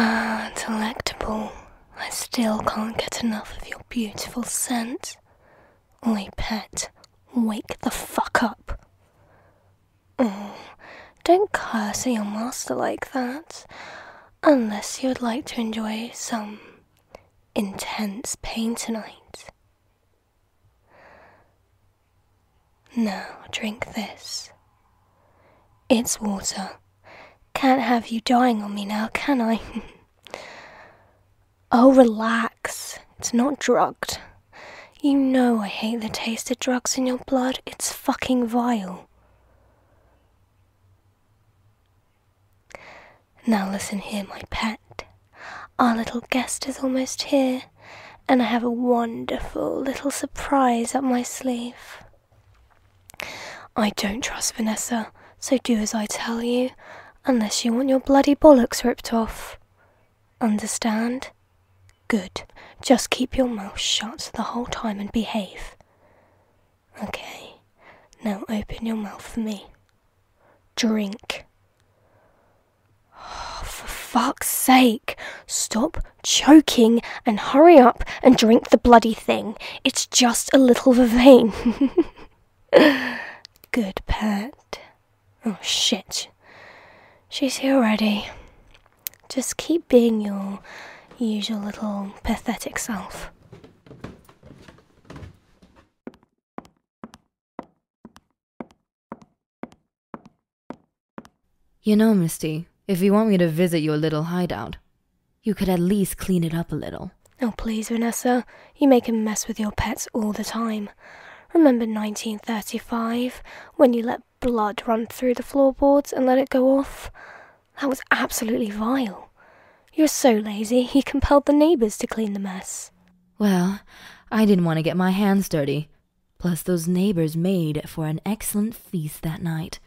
Ah, delectable. I still can't get enough of your beautiful scent. Oi, pet, wake the fuck up. Oh, don't curse at your master like that, unless you would like to enjoy some intense pain tonight. Now, drink this. It's water. Can't have you dying on me now, can I? oh, relax. It's not drugged. You know I hate the taste of drugs in your blood. It's fucking vile. Now listen here, my pet. Our little guest is almost here, and I have a wonderful little surprise up my sleeve. I don't trust Vanessa, so do as I tell you, unless you want your bloody bollocks ripped off. Understand? Good. Just keep your mouth shut the whole time and behave. Okay. Now open your mouth for me. Drink. for fuck's sake, stop choking and hurry up and drink the bloody thing. It's just a little vervain. Good, pet. Oh shit, She's here already. Just keep being your usual little pathetic self. You know, Misty, if you want me to visit your little hideout, you could at least clean it up a little. Oh, please, Vanessa. You make a mess with your pets all the time. Remember 1935, when you let blood run through the floorboards and let it go off. That was absolutely vile. You're so lazy, he compelled the neighbors to clean the mess. Well, I didn't want to get my hands dirty. Plus, those neighbors made for an excellent feast that night.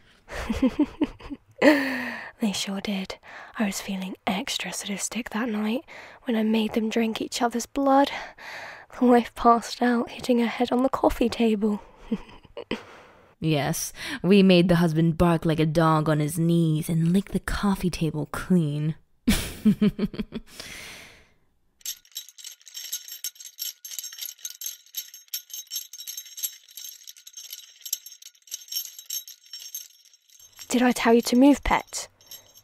they sure did. I was feeling extra sadistic that night when I made them drink each other's blood. The passed out, hitting her head on the coffee table. yes, we made the husband bark like a dog on his knees and lick the coffee table clean. Did I tell you to move, pet?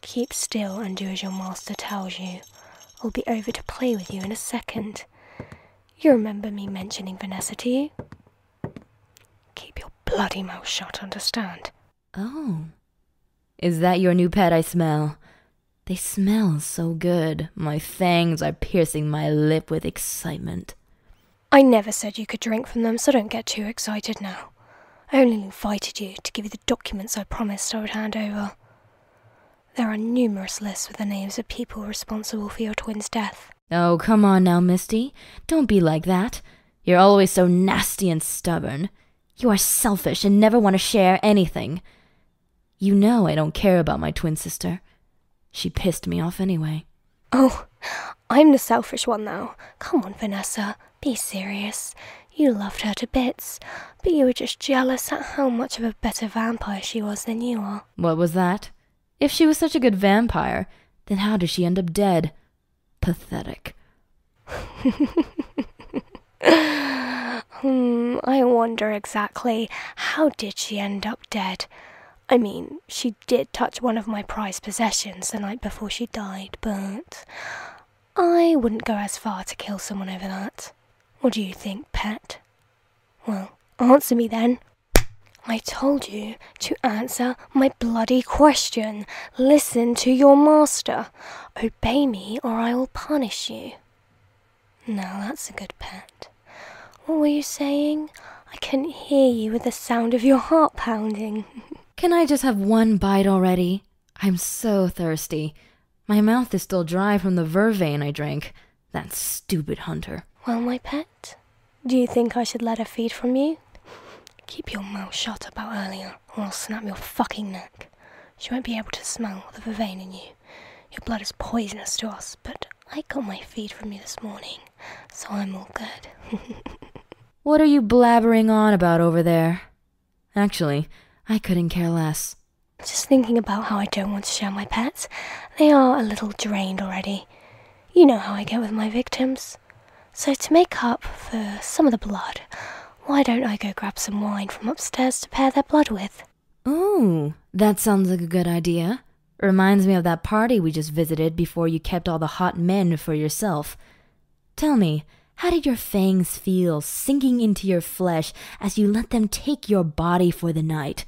Keep still and do as your master tells you. I'll be over to play with you in a second. You remember me mentioning Vanessa to you? Keep your bloody mouth shut, understand? Oh. Is that your new pet I smell? They smell so good. My fangs are piercing my lip with excitement. I never said you could drink from them, so don't get too excited now. I only invited you to give you the documents I promised I would hand over. There are numerous lists with the names of people responsible for your twin's death. Oh, come on now, Misty. Don't be like that. You're always so nasty and stubborn. You are selfish and never want to share anything. You know I don't care about my twin sister. She pissed me off anyway. Oh, I'm the selfish one though. Come on, Vanessa. Be serious. You loved her to bits, but you were just jealous at how much of a better vampire she was than you are. What was that? If she was such a good vampire, then how did she end up dead? Pathetic. hmm, I wonder exactly how did she end up dead? I mean, she did touch one of my prized possessions the night before she died, but I wouldn't go as far to kill someone over that. What do you think, pet? Well, answer me then. I told you to answer my bloody question. Listen to your master. Obey me or I will punish you. Now that's a good pet. What were you saying? I couldn't hear you with the sound of your heart pounding. Can I just have one bite already? I'm so thirsty. My mouth is still dry from the vervain I drank. That stupid hunter. Well, my pet, do you think I should let her feed from you? Keep your mouth shut about earlier, or I'll snap your fucking neck. She won't be able to smell the vervain in you. Your blood is poisonous to us, but I got my feed from you this morning, so I'm all good. what are you blabbering on about over there? Actually, I couldn't care less. Just thinking about how I don't want to share my pets. They are a little drained already. You know how I get with my victims. So to make up for some of the blood, why don't I go grab some wine from upstairs to pair their blood with? Oh, that sounds like a good idea. Reminds me of that party we just visited before you kept all the hot men for yourself. Tell me, how did your fangs feel sinking into your flesh as you let them take your body for the night?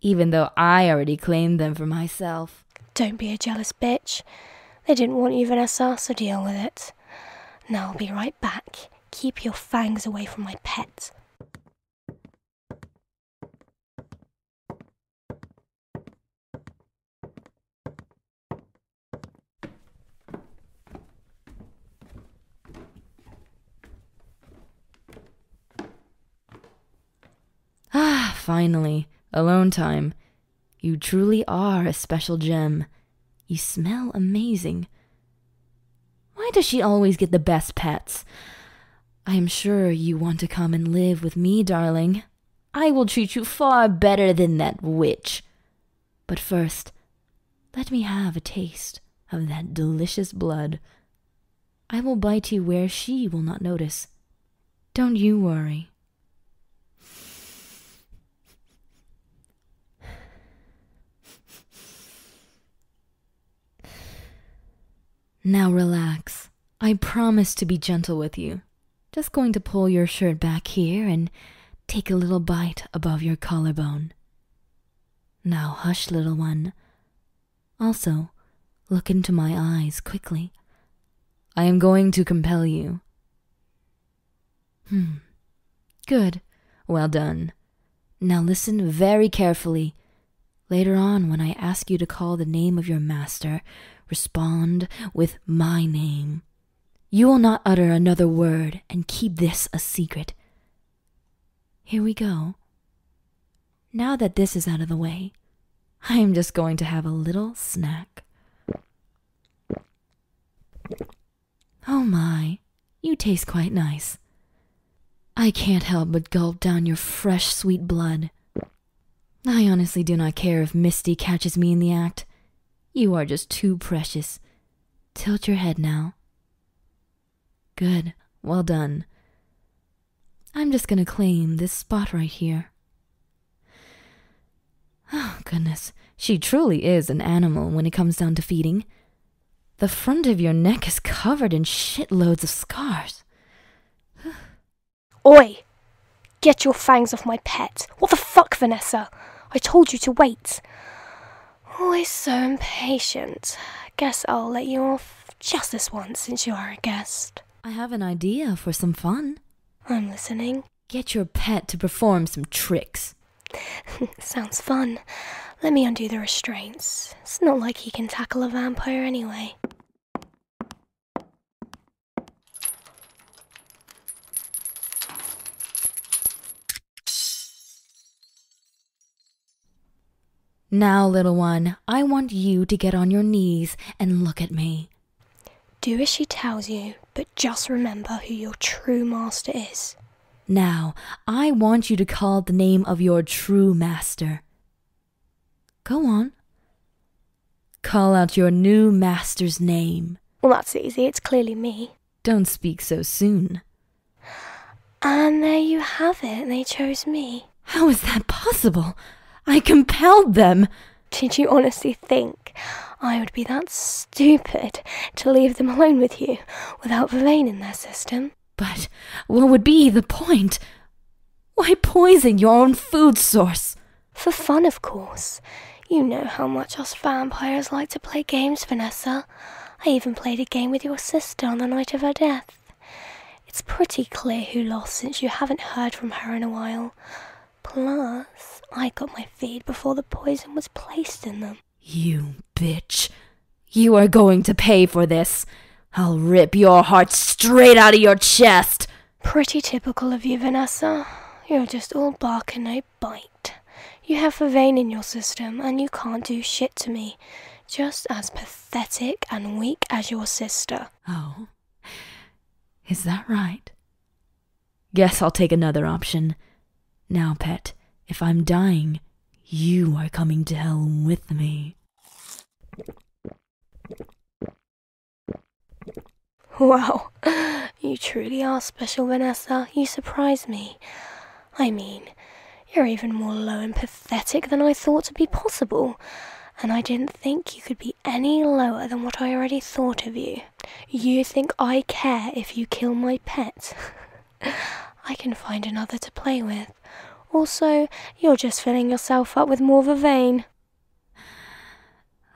Even though I already claimed them for myself. Don't be a jealous bitch. They didn't want you Vanessa, so deal with it. Now I'll be right back. Keep your fangs away from my pet. Ah, finally, alone time. You truly are a special gem. You smell amazing. Why does she always get the best pets? I am sure you want to come and live with me, darling. I will treat you far better than that witch. But first, let me have a taste of that delicious blood. I will bite you where she will not notice. Don't you worry. Now relax. I promise to be gentle with you. Just going to pull your shirt back here and take a little bite above your collarbone. Now hush, little one. Also, look into my eyes quickly. I am going to compel you. Hmm. Good. Well done. Now listen very carefully. Later on, when I ask you to call the name of your master, respond with my name. You will not utter another word and keep this a secret. Here we go. Now that this is out of the way, I am just going to have a little snack. Oh my, you taste quite nice. I can't help but gulp down your fresh, sweet blood. I honestly do not care if Misty catches me in the act. You are just too precious, Tilt your head now. Good, well done. I'm just gonna claim this spot right here. Oh, goodness, she truly is an animal when it comes down to feeding. The front of your neck is covered in shitloads of scars. Oi! Get your fangs off my pet! What the fuck, Vanessa? I told you to wait. Always oh, so impatient. Guess I'll let you off just this once since you are a guest. I have an idea for some fun. I'm listening. Get your pet to perform some tricks. Sounds fun. Let me undo the restraints. It's not like he can tackle a vampire anyway. Now, little one, I want you to get on your knees and look at me. Do as she tells you, but just remember who your true master is. Now, I want you to call the name of your true master. Go on. Call out your new master's name. Well, that's easy. It's clearly me. Don't speak so soon. And there you have it, they chose me. How is that possible? I compelled them. Did you honestly think I would be that stupid to leave them alone with you without Verlaine in their system? But what would be the point? Why poison your own food source? For fun, of course. You know how much us vampires like to play games, Vanessa. I even played a game with your sister on the night of her death. It's pretty clear who lost since you haven't heard from her in a while. Plus, I got my feed before the poison was placed in them. You bitch. You are going to pay for this. I'll rip your heart straight out of your chest. Pretty typical of you, Vanessa. You're just all bark and no bite. You have a vein in your system and you can't do shit to me. Just as pathetic and weak as your sister. Oh. Is that right? Guess I'll take another option. Now, pet, if I'm dying, you are coming to hell with me. Wow, you truly are special, Vanessa. You surprise me. I mean, you're even more low and pathetic than I thought to be possible, and I didn't think you could be any lower than what I already thought of you. You think I care if you kill my pet? I can find another to play with. Also, you're just filling yourself up with more vervain.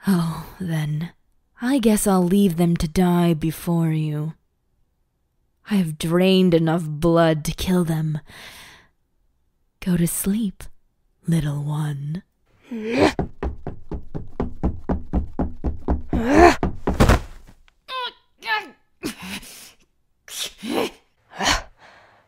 Oh, then, I guess I'll leave them to die before you. I have drained enough blood to kill them. Go to sleep, little one.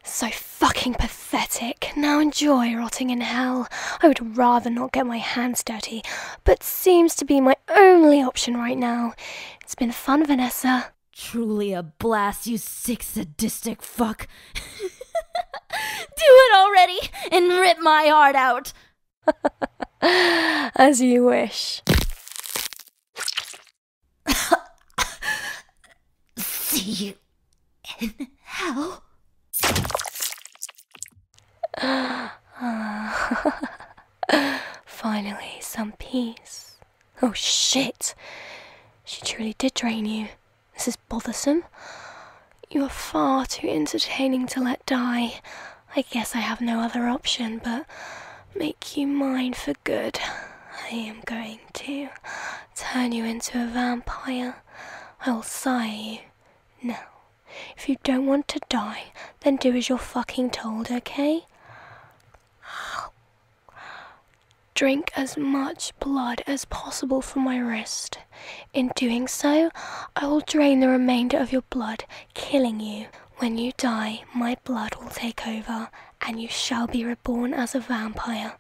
So fucking pathetic. Now enjoy rotting in hell. I would rather not get my hands dirty but seems to be my only option right now. It's been fun, Vanessa. Truly a blast, you sick sadistic fuck. Do it already and rip my heart out. As you wish. See you in hell. Finally, some peace. Oh shit! She truly did drain you. This is bothersome. You are far too entertaining to let die. I guess I have no other option but make you mine for good. I am going to turn you into a vampire. I will sire you now. If you don't want to die, then do as you're fucking told, okay? Drink as much blood as possible from my wrist. In doing so, I will drain the remainder of your blood, killing you. When you die, my blood will take over, and you shall be reborn as a vampire.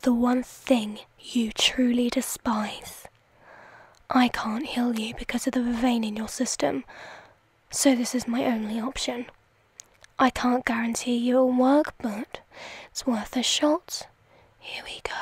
The one thing you truly despise. I can't heal you because of the vein in your system, so this is my only option. I can't guarantee it'll work, but it's worth a shot. Here we go.